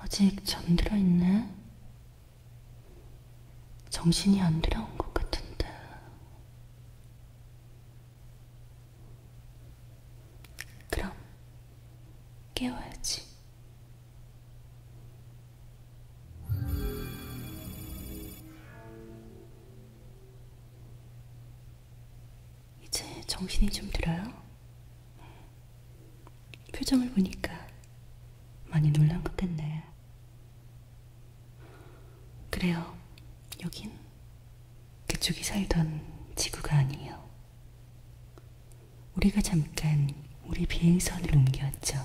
아직 잠들어 있네. 정신이 안 들어온 것 같은데. 그럼 깨워야지. 이제 정신이 좀 들어요? 표정을 보니까 많이 놀란 것 같네. 그래요. 여긴 그쪽이 살던 지구가 아니에요. 우리가 잠깐 우리 비행선을 옮겼죠.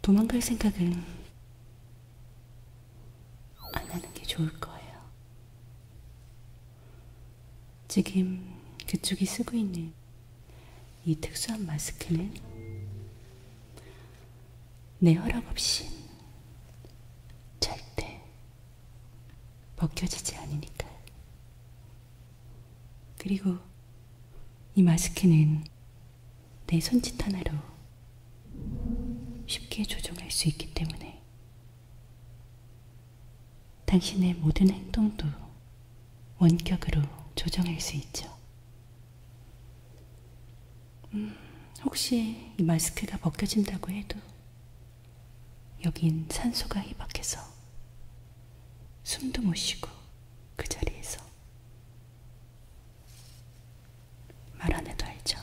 도망갈 생각은 안 하는 게 좋을 거예요. 지금 그쪽이 쓰고 있는 이 특수한 마스크는 내 허락 없이 절대 벗겨지지 않으니까. 그리고 이 마스크는 내 손짓 하나로 쉽게 조종할 수 있기 때문에 당신의 모든 행동도 원격으로 조정할 수 있죠. 음, 혹시 이 마스크가 벗겨진다고 해도 여긴 산소가 희박해서 숨도 못 쉬고 그 자리에서 말 안 해도 알죠.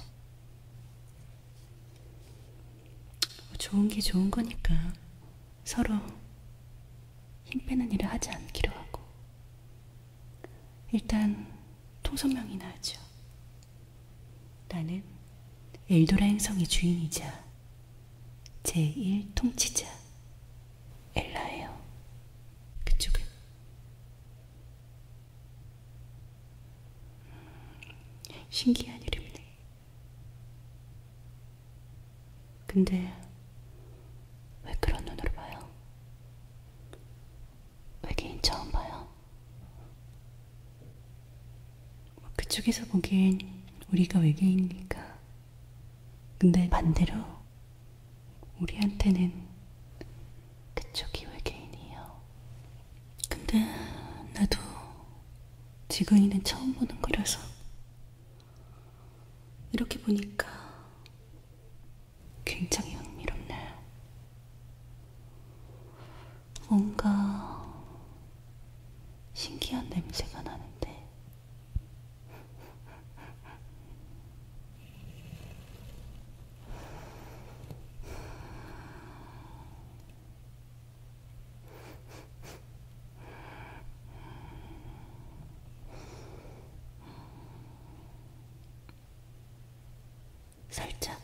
뭐 좋은 게 좋은 거니까 서로 힘 빼는 일을 하지 않기로 하고 일단 통선명이나 하죠. 나는 엘도라 행성의 주인이자 제1 통치자 엘라예요. 그쪽은 음, 신기한 이름이네. 근데 왜 그런 눈으로 봐요? 외계인 처음 봐요? 뭐 그쪽에서 보기엔 우리가 외계인이니까. 근데 반대로 우리한테는 그쪽이 외계인이에요. 근데 나도 지근이는 처음 보는 거라서 이렇게 보니까 굉장히 흥미롭네요. 뭔가 신기한 냄새가 나는데 살짝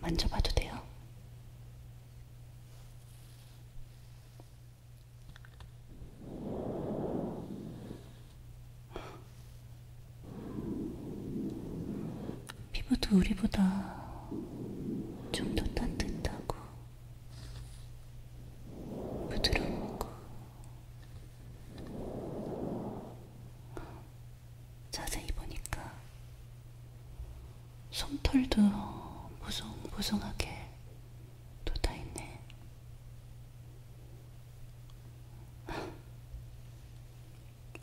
만져봐도 돼요? 피부도 우리보다 좀 더 따뜻하고 부드럽고 자세히 보니까 솜털도 무성무성하게 돋아있네.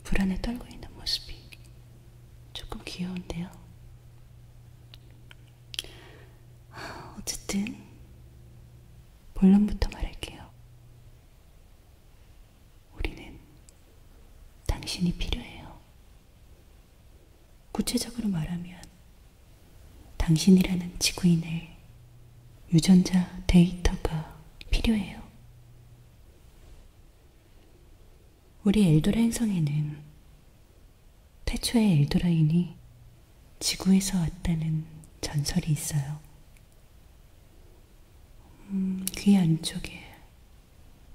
불안에 떨고 있는 모습이 조금 귀여운데요. 어쨌든 본론부터 말할게요. 우리는 당신이 필요해요. 구체적으로 말하면 당신이라는 지구인의 유전자 데이터가 필요해요. 우리 엘도라 행성에는 태초의 엘도라인이 지구에서 왔다는 전설이 있어요. 음, 귀 안쪽에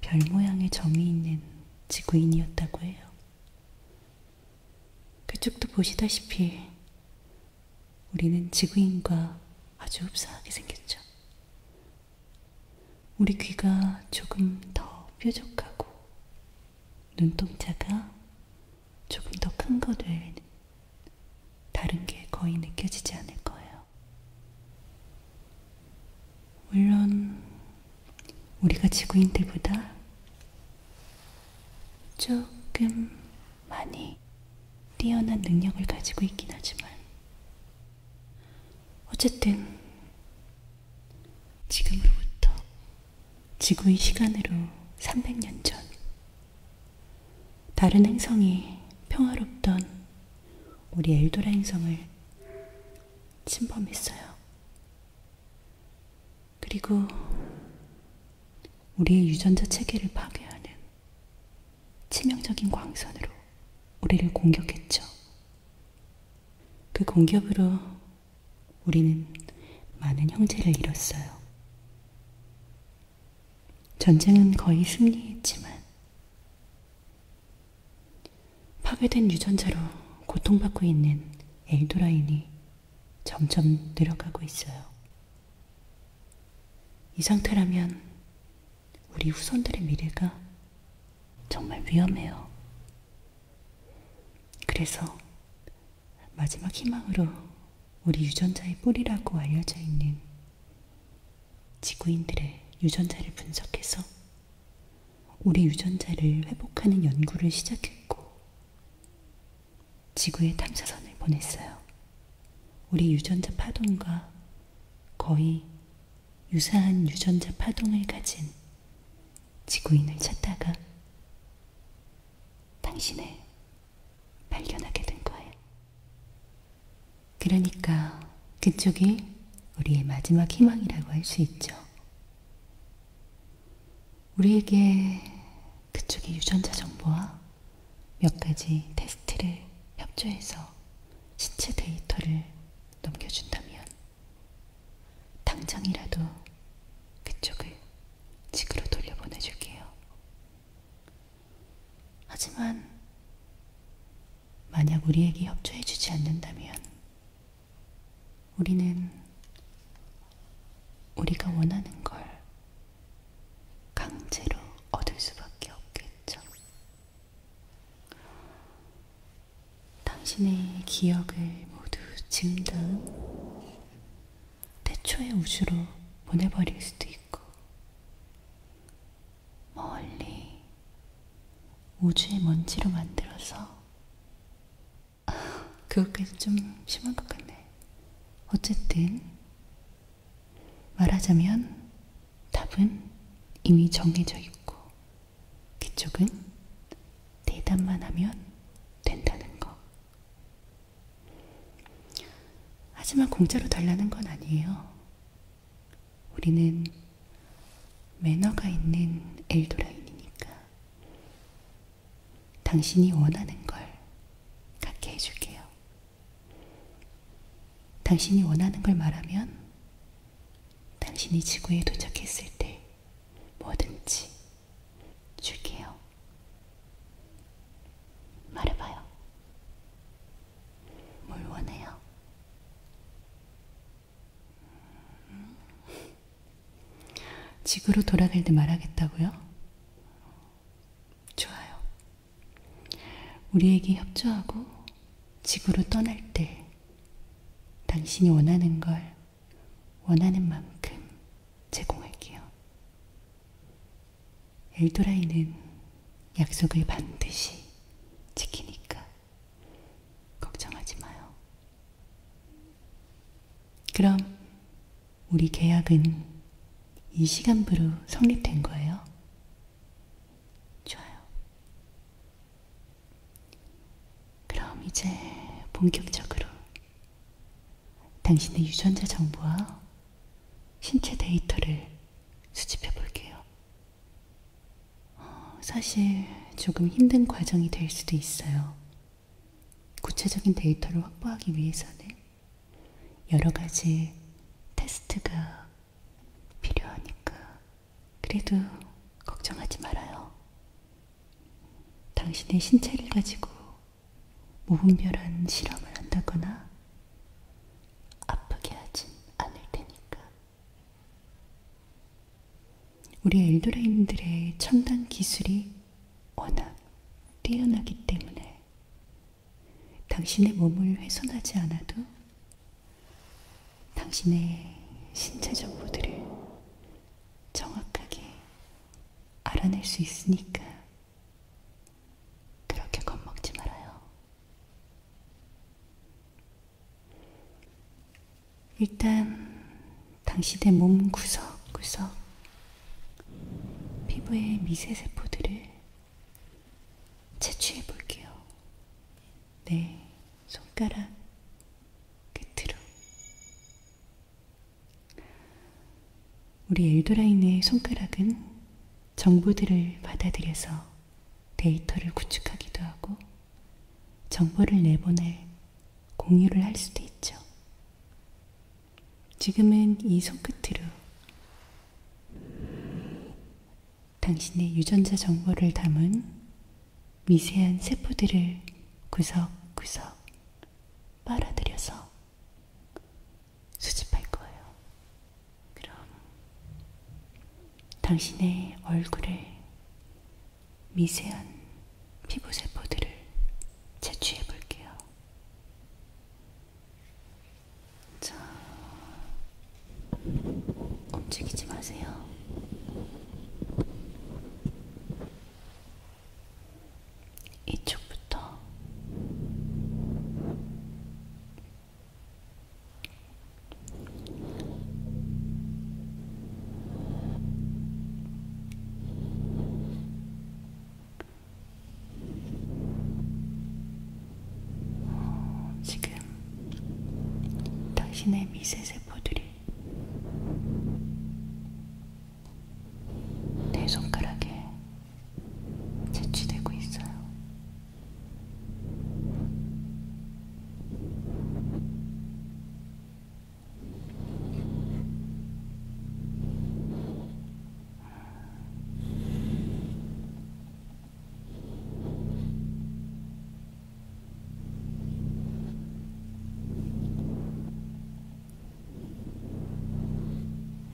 별 모양의 점이 있는 지구인이었다고 해요. 그쪽도 보시다시피 우리는 지구인과 아주 흡사하게 생겼죠. 우리 귀가 조금 더 뾰족하고 눈동자가 조금 더 큰 것을 다른 게 거의 느껴지지 않을 거예요. 물론, 우리가 지구인들보다 조금 많이 뛰어난 능력을 가지고 있긴 하지만, 어쨌든, 지금으로부터 지구의 시간으로 300년 전, 다른 행성이 평화롭던 우리 엘도라 행성을 침범했어요. 그리고 우리의 유전자 체계를 파괴하는 치명적인 광선으로 우리를 공격했죠. 그 공격으로 우리는 많은 형제를 잃었어요. 전쟁은 거의 승리했지만 파괴된 유전자로 고통받고 있는 엘도라인이 점점 늘어가고 있어요. 이 상태라면 우리 후손들의 미래가 정말 위험해요. 그래서 마지막 희망으로 우리 유전자의 뿌리라고 알려져 있는 지구인들의 유전자를 분석해서 우리 유전자를 회복하는 연구를 시작했고, 지구에 탐사선을 보냈어요. 우리 유전자 파동과 거의 유사한 유전자 파동을 가진 지구인을 찾다가 당신을 발견하게 된 거예요. 그러니까 그쪽이 우리의 마지막 희망이라고 할 수 있죠. 우리에게 그쪽의 유전자 정보와 몇 가지 테스트를 협조해서 신체 데이터를 넘겨준다면 당장이라도 그쪽을 지구로 돌려보내줄게요. 하지만 만약 우리에게 협조해주지 않는다면 우리는 우리가 원하는 걸 강제로 얻을 수밖에 없겠죠. 당신의 기억을 모두 지운 다음 태초의 우주로 보내버릴 수도 있고 멀리 우주의 먼지로 만들어서 그것까지 좀 심한 것 같네. 어쨌든 말하자면 답은 이미 정해져 있고 그쪽은 대답만 하면 된다는 거. 하지만 공짜로 달라는 건 아니에요. 우리는 매너가 있는 엘도라인이니까 당신이 원하는 걸 갖게 해줄게요. 당신이 원하는 걸 말하면 당신이 지구에 도착했을 때 뭐든지 줄게요. 말해봐요. 뭘 원해요? 음. 지구로 돌아갈 때 말하겠다고요? 좋아요. 우리에게 협조하고 지구로 떠날 때 당신이 원하는 걸 원하는 만큼 제공할게요. 엘도라이는 약속을 반드시 지키니까 걱정하지 마요. 그럼 우리 계약은 이 시간부로 성립된 거예요? 좋아요. 그럼 이제 본격적으로 당신의 유전자 정보와 신체 데이터를 수집해 볼게요. 어, 사실 조금 힘든 과정이 될 수도 있어요. 구체적인 데이터를 확보하기 위해서는 여러 가지 테스트가 필요하니까 그래도 걱정하지 말아요. 당신의 신체를 가지고 무분별한 실험을 한다거나 아프게 하진 않을 테니까. 우리 엘도라인들의 첨단 기술이 워낙 뛰어나기 때문에 당신의 몸을 훼손하지 않아도 당신의 신체 정보들을 정확하게 알아낼 수 있으니까 그렇게 겁먹지 말아요. 일단 당신의 몸 구석구석 피부의 미세세포들을 채취해 볼게요. 네, 손가락 끝으로. 우리 엘도라인의 손가락은 정보들을 받아들여서 데이터를 구축하기도 하고 정보를 내보내 공유를 할 수도 있죠. 지금은 이 손끝으로 당신의 유전자 정보를 담은 미세한 세포들을 구석구석 빨아들여서 수집할 거예요. 그럼 당신의 얼굴에 미세한 피부 세포들을 채취해 볼게요. 자, 움직이지 마세요. 이쪽부터 어, 지금 당신의 미세세포들이 내 손가락에 채취되고 있어요.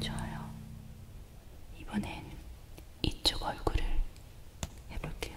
좋아요. 이번엔 이쪽 얼굴을 해볼게요.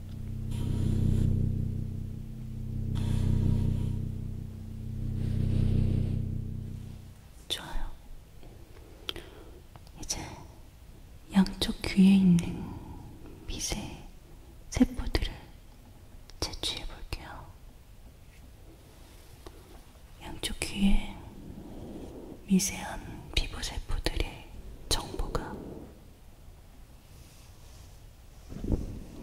좋아요. 이제 양쪽 귀에 있는 미세 세포들을 채취해 볼게요. 양쪽 귀에 미세한 피부 세포들의 정보가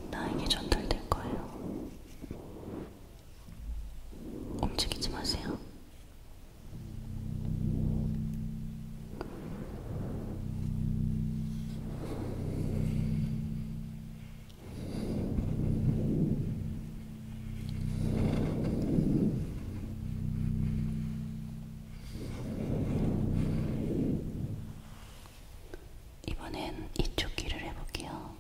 나에게 전달될 거예요. 움직이지 마세요. 이번엔 이쪽 귀를 해볼게요.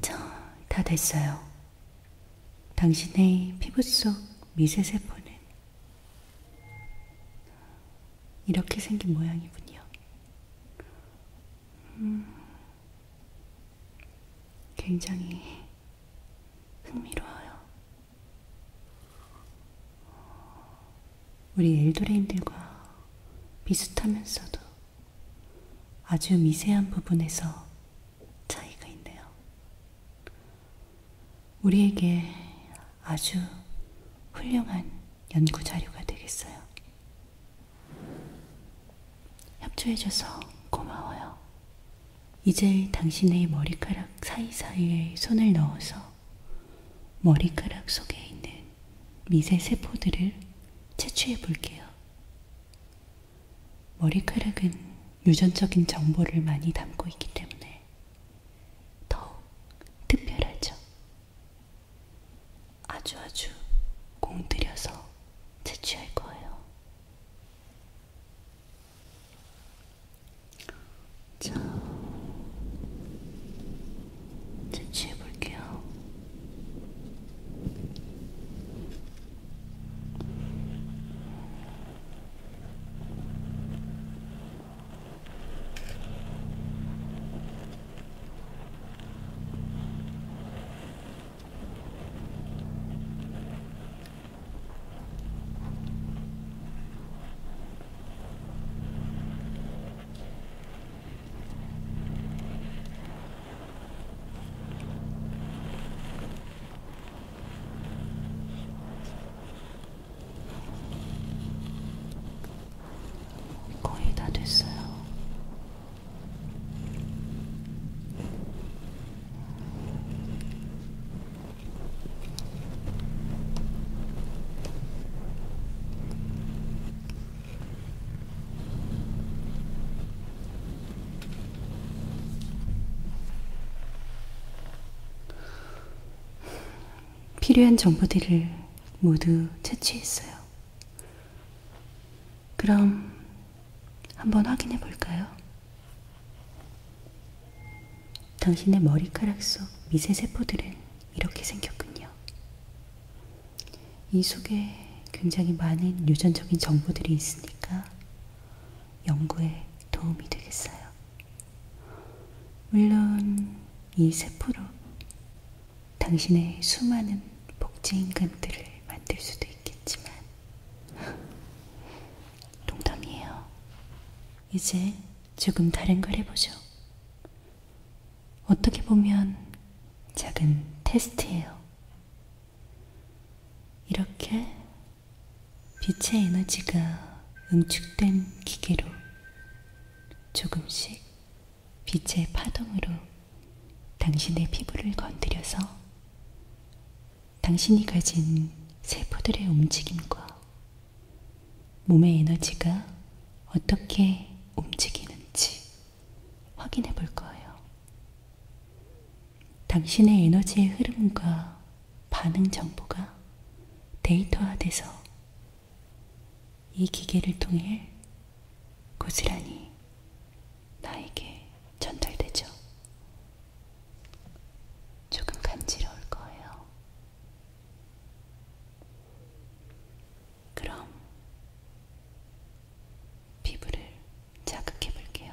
자, 다 됐어요. 당신의 피부 속 미세세포는 이렇게 생긴 모양이군요. 음, 굉장히 흥미로워요. 우리 엘도레인들과 비슷하면서도 아주 미세한 부분에서 차이가 있네요. 우리에게 아주 훌륭한 연구 자료가 되겠어요. 협조해줘서 고마워요. 이제 당신의 머리카락 사이사이에 손을 넣어서 머리카락 속에 있는 미세 세포들을 채취해 볼게요. 머리카락은 유전적인 정보를 많이 담고 있기 때문에 더욱 특별하죠. 아주 아주 공들여서 채취할 거예요. 자, 채취해 볼게요. 거의 다 됐어요. 필요한 정보들을 모두 채취했어요. 그럼 한번 확인해 볼까요? 당신의 머리카락 속 미세 세포들은 이렇게 생겼군요. 이 속에 굉장히 많은 유전적인 정보들이 있으니까 연구에 도움이 되겠어요. 물론 이 세포로 당신의 수많은 복지 임금들을 만들 수도 있겠지만 농담이에요. 이제 조금 다른 걸 해보죠. 어떻게 보면 작은 테스트예요. 이렇게 빛의 에너지가 응축된 기계로 조금씩 빛의 파동으로 당신의 피부를 건드려서 당신이 가진 세포들의 움직임과 몸의 에너지가 어떻게 움직이는지 확인해 볼 거예요. 당신의 에너지의 흐름과 반응 정보가 데이터화돼서 이 기계를 통해 고스란히 나에게 전달되죠. 조금 간지러울 거예요. 그럼 피부를 자극해 볼게요.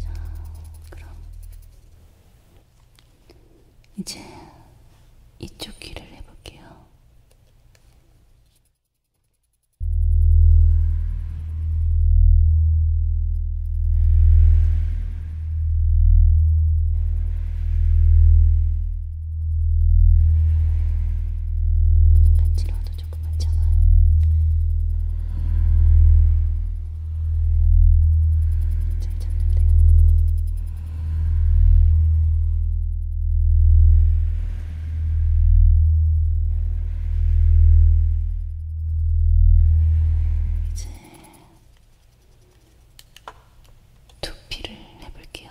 자, 그럼 이제 이쪽 귀를 해볼게요. 간지러워도 조금 많잖아요. 잘 잡는데요. 이제 두피를 해볼게요.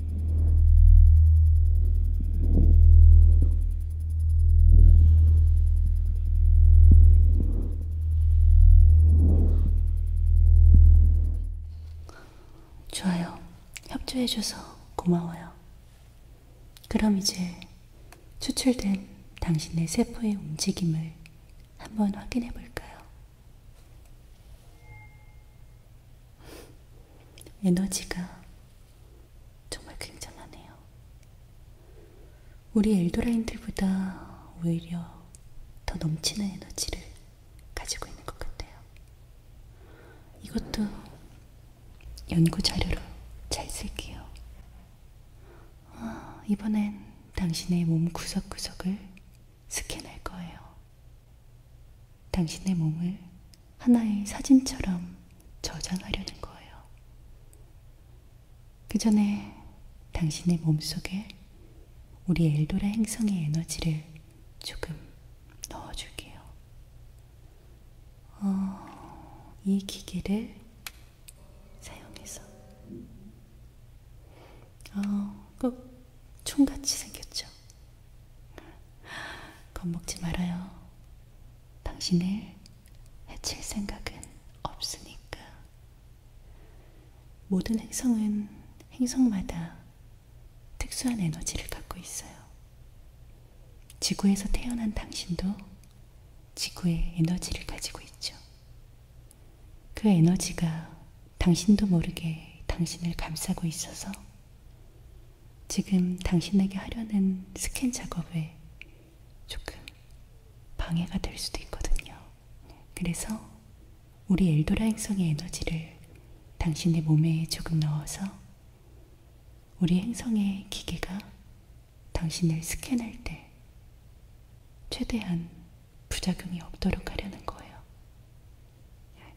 좋아요. 협조해줘서 고마워요. 그럼 이제 추출된 당신의 세포의 움직임을 한번 확인해 볼까요? 에너지가 정말 굉장하네요. 우리 엘도라인들보다 오히려 더 넘치는 에너지를 가지고 있는 것 같아요. 이것도 연구 자료로 잘 쓸게요. 아, 이번엔 당신의 몸 구석구석을 스캔할 거예요. 당신의 몸을 하나의 사진처럼 저장하려는 거예요. 그 전에 당신의 몸 속에 우리 엘도라 행성의 에너지를 조금 넣어줄게요. 어, 이 기계를 사용해서 어, 꼭 총같이 생겼죠. 겁먹지 말아요. 당신을 해칠 생각은 없으니까. 모든 행성은 행성마다 특수한 에너지를 갖고 있어요. 지구에서 태어난 당신도 지구의 에너지를 가지고 있죠. 그 에너지가 당신도 모르게 당신을 감싸고 있어서 지금 당신에게 하려는 스캔 작업에 조금 방해가 될 수도 있거든요. 그래서 우리 엘도라 행성의 에너지를 당신의 몸에 조금 넣어서 우리 행성의 기계가 당신을 스캔할 때 최대한 부작용이 없도록 하려는 거예요.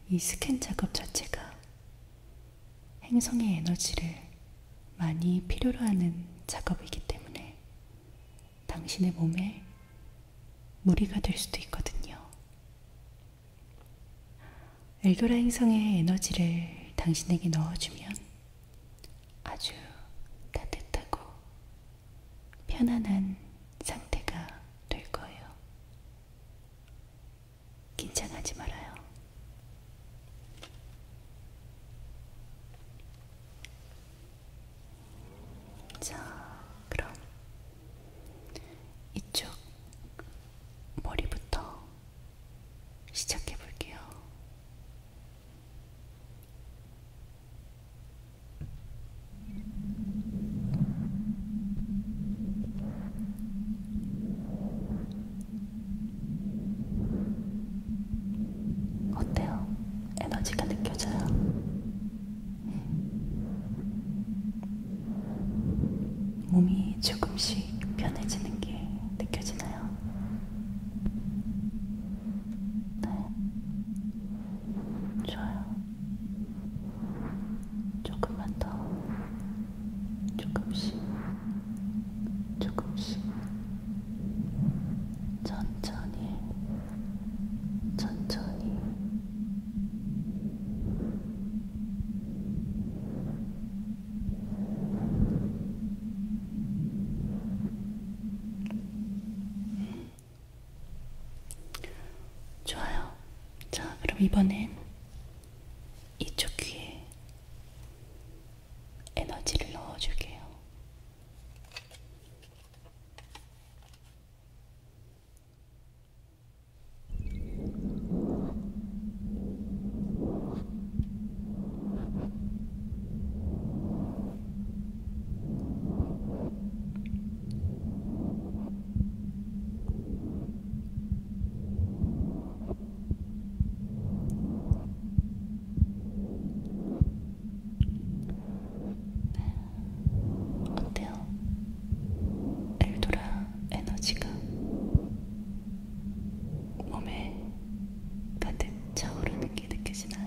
이 스캔 작업 자체가 행성의 에너지를 많이 필요로 하는 작업이기 때문에 당신의 몸에 무리가 될 수도 있거든요. 엘도라 행성의 에너지를 당신에게 넣어주면 아주 따뜻하고 편안한 상태가 될 거예요. 긴장하지 말아요. 자, 그럼 이쪽 머리부터 시작해 볼게요. 어때요? 에너지가 느껴져요? 몸이 조금씩 편해지는 게 느껴지나요? 네. 좋아요. 조금만 더 조금씩 조금씩 천천히 천천히 좋아요. 자, 그럼 이번엔 이쪽 귀에 에너지를 넣어줄게요. 네. 어때요? 엘도라 에너지가 몸에 가득 차오르는 게 느껴지나요?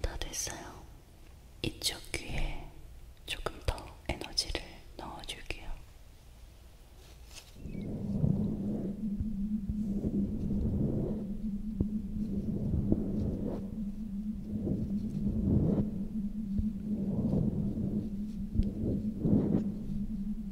다 됐어요. 이쪽 귀에 조금 더 에너지를 넣어줄게요.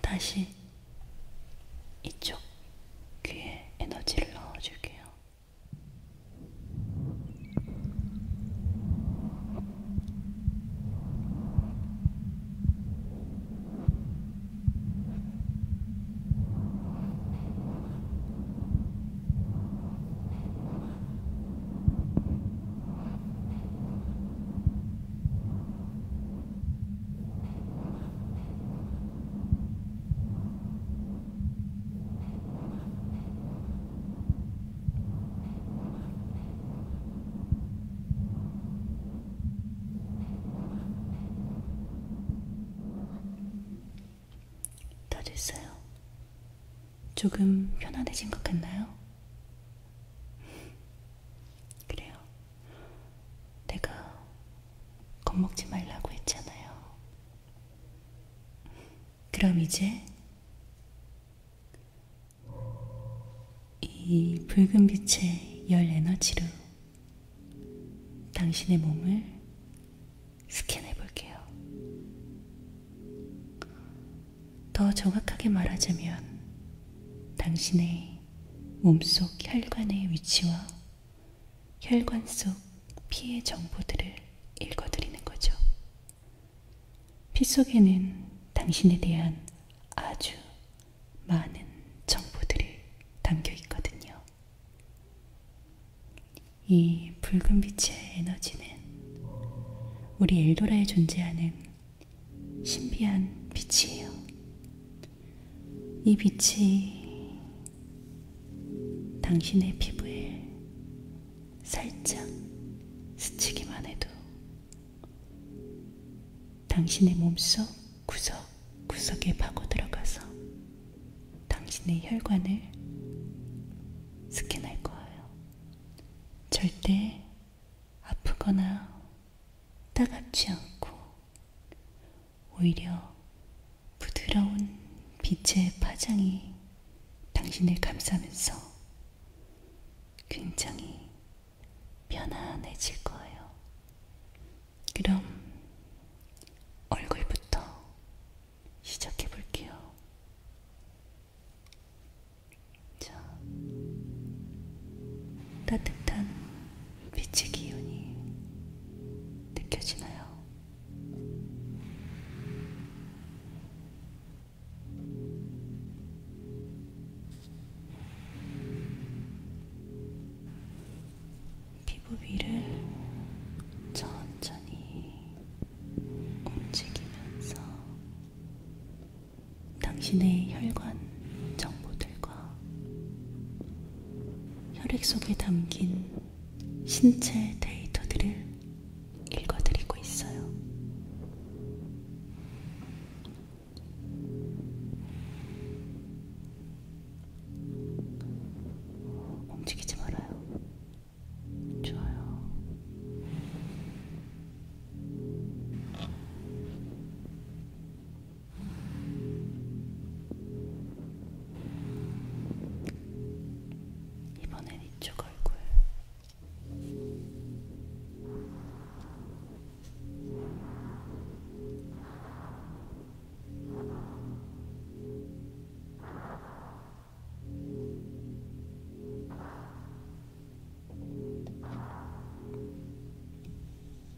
다시 이쪽 귀에 에너지를 넣어줄게요. 다 됐어요. 조금 편안해진 것 같나요? 그래요. 내가 겁먹지 말라고 했잖아요. 그럼 이제 이 붉은 빛의 열 에너지로 당신의 몸을 스캔해 볼게요. 더 정확하게 말하자면 당신의 몸속 혈관의 위치와 혈관 속 피의 정보들을 읽어드리는 거죠. 피 속에는 당신에 대한 아주 많은 정보들이 담겨 있거든요. 이 붉은 빛의 에너지는 우리 엘도라에 존재하는 신비한 빛이에요. 이 빛이 당신의 피부에 살짝 스치기만 해도 당신의 몸속 구석구석에 파고들어가서 당신의 혈관을 스캔할 거예요. 절대 아프거나 따갑지 않고 오히려 부드러운 빛의 파장이 당신을 감싸면서 굉장히 편안해질 거예요. 그럼 얼굴부터 시작해 볼게요. 자, 따뜻한 빛의 기운이 느껴지나요? 피부 위를 천천히 움직이면서 당신의 혈관 정보들과 혈액 속에 담긴 신체 데이터들을 읽어드리고 있어요. 움직이지 말아요. 좋아요. 이번엔 이쪽 얼굴.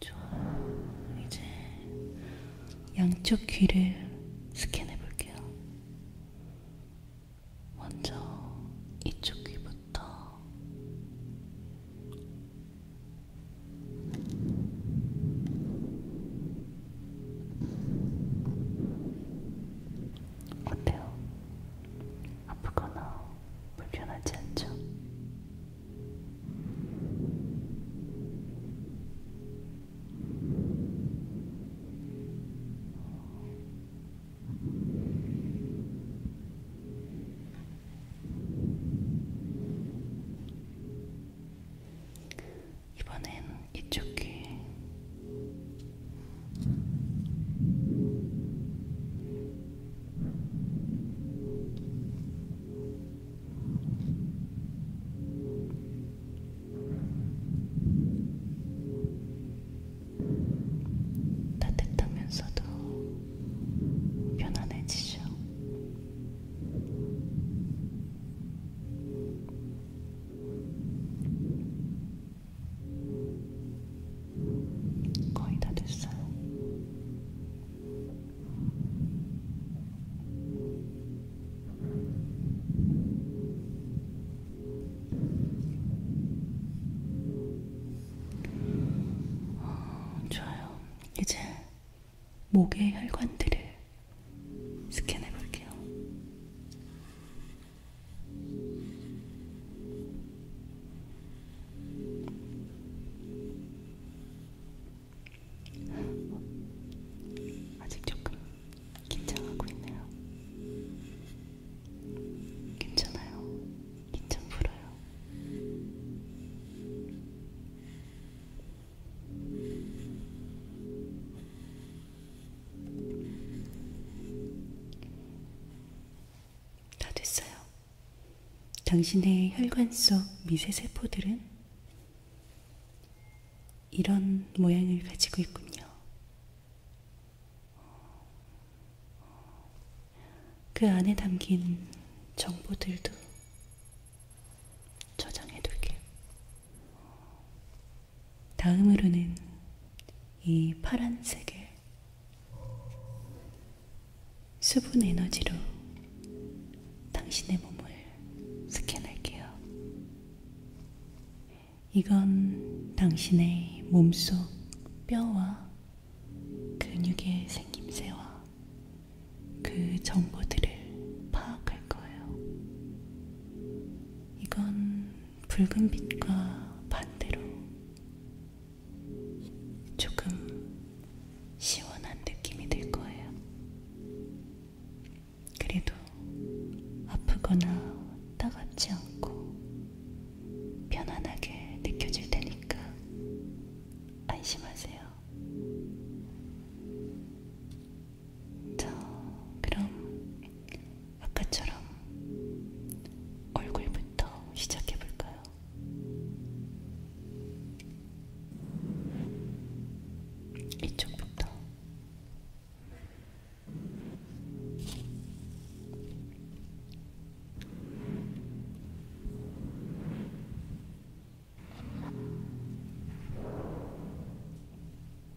좋아요. 이제 양쪽 귀를 스캔해 볼게요. 먼저 이쪽 귀부터 어때요? 아프거나 불편하지 않죠? 이번엔 이쪽 귀 따뜻하면서도 편안해지죠. 거의 다 됐어요. 어, 좋아요. 이제 목의 혈관들을 스캔해 볼게요. 아직 조금 긴장하고 있네요. 괜찮아요. 긴장 풀어요. 다 됐어요. 당신의 혈관 속 미세세포들은 이런 모양을 가지고 있군요. 그 안에 담긴 정보들도 저장해둘게요. 다음으로는 이 파란색을 수분 에너지로 당신의 몸을 스캔할게요. 이건 당신의 몸속 뼈와 그 근육의 생김새와 그 정보들을 파악할 거예요. 이건 붉은 빛과 반대로 조금 시원한 느낌이 들 거예요. 그래도 아프거나 따갑지 않고 편안하게 느껴질 테니까 안심하세요. 자, 그럼 아까처럼 얼굴부터 시작해볼까요? 이쪽부터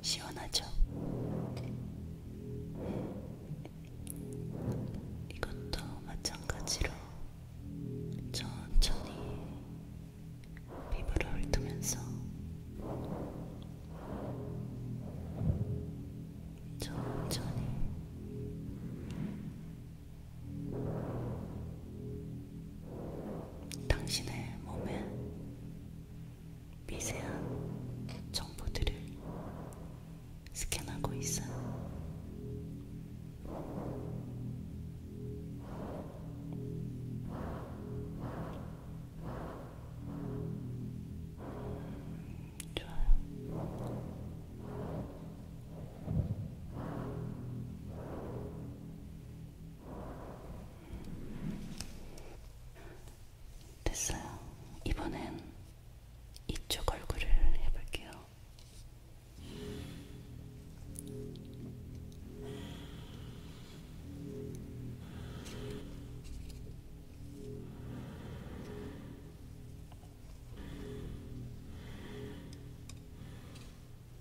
시원하죠? 이것도 마찬가지로 천천히 피부를 훑으면서 천천히 당신의 몸에 미세한 정보들을 스캔하고 있어요. 좋아요. 됐어요. 이번엔 이쪽 얼굴을 해볼게요.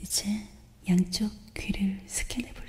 이제 양쪽 귀를 스캔해 볼게요.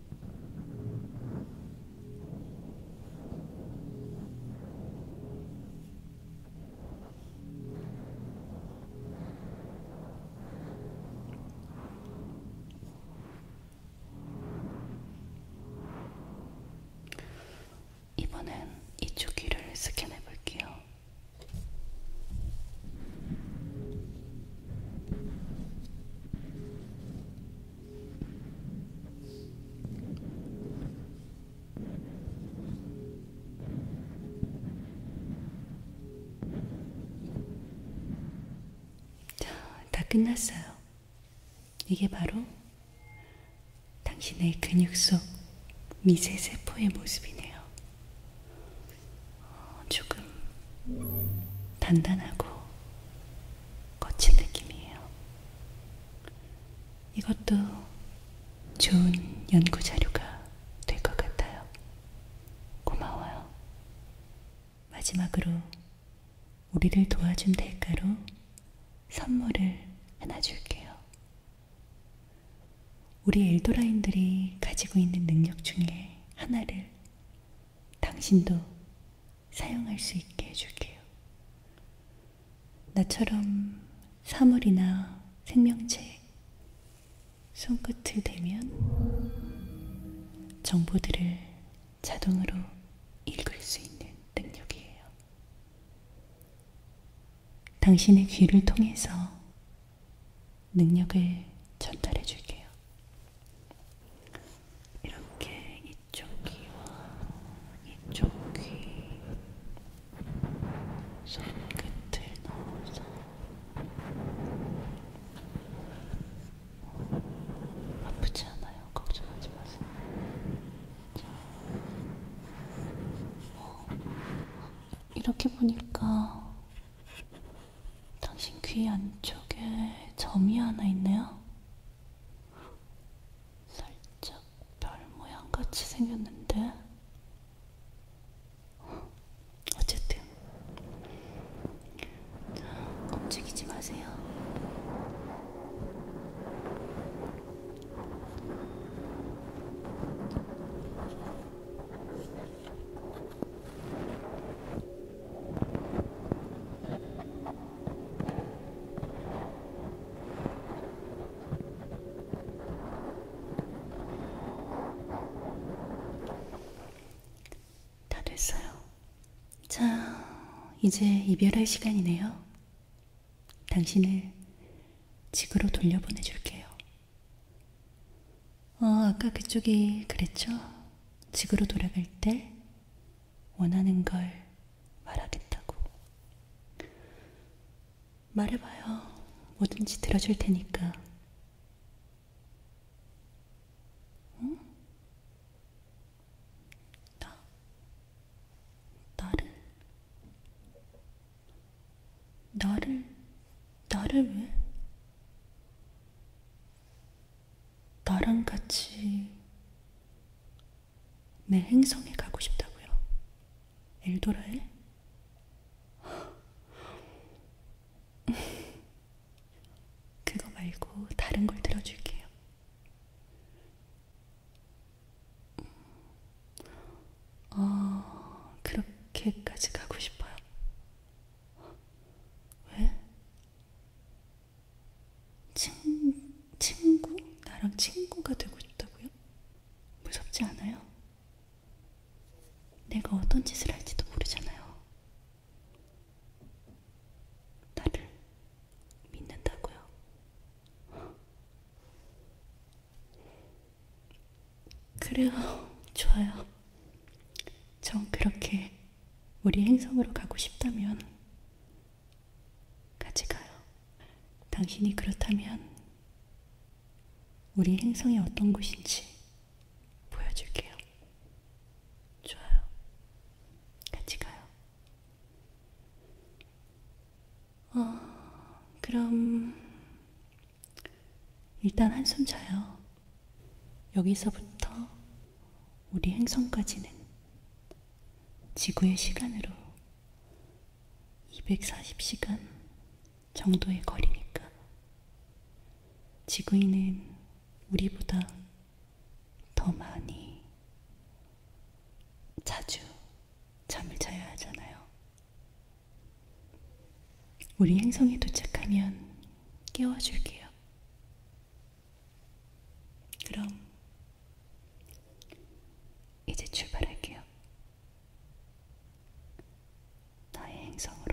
이번엔 이쪽 귀를 스캔해 볼게요. 다 끝났어요. 이게 바로 당신의 근육 속 미세 세포의 모습이네요. 어, 조금 단단하고 거친 느낌이에요. 이것도 좋은 연구 자료가 될 것 같아요. 고마워요. 마지막으로 우리를 도와준 대가로 선물을 하나 줄게요. 우리 엘도라인들이 가지고 있는 능력 중에 하나를 당신도 사용할 수 있게 해줄게요. 나처럼 사물이나 생명체 손끝을 대면 정보들을 자동으로 읽을 수 있는 능력이에요. 당신의 귀를 통해서 능력을 전달해 줄게요. 이렇게 이 이쪽 귀와 이쪽 귀 손끝을 넣어서 아프지 않아요. 걱정하지 마세요. 자. 어. 이렇게 보니까 당신 귀 안쪽에 점이 하나 있네요. 살짝 별 모양 같이 생겼는데 어쨌든 움직이지 마세요. 다 됐어요. 자, 이제 이별할 시간이네요. 당신을 집으로 돌려보내줄게요. 어, 아까 그쪽이 그랬죠? 집으로 돌아갈 때 원하는 걸 말하겠다고. 말해봐요. 뭐든지 들어줄 테니까. 응? 나? 나를? 나를? 나를 왜? 나랑 같이 내 행성에 가고 싶다고요. 엘도라에? 그거 말고 다른 걸 들어줄게요. 음. 어, 그렇게까지 가고 싶어요. 왜? 친, 친구? 나랑 친구가 되고 싶다고요? 무섭지 않아요? 내가 어떤 짓을 할지도 모르잖아요. 나를 믿는다고요? 그래요, 좋아요. 전 그렇게 우리 행성으로 가고 싶다면 같이 가요. 당신이 그렇다면 우리 행성이 어떤 곳인지 보여줄게요. 좋아요. 같이 가요. 어, 그럼 일단 한숨 자요. 여기서부터 우리 행성까지는 지구의 시간으로 240시간 정도의 거리니까 지구인은 우리보다 더 많이 자주 잠을 자야 하잖아요. 우리 행성에 도착하면 깨워줄게요. 그럼 이제 출발할게요. 나의 행성으로.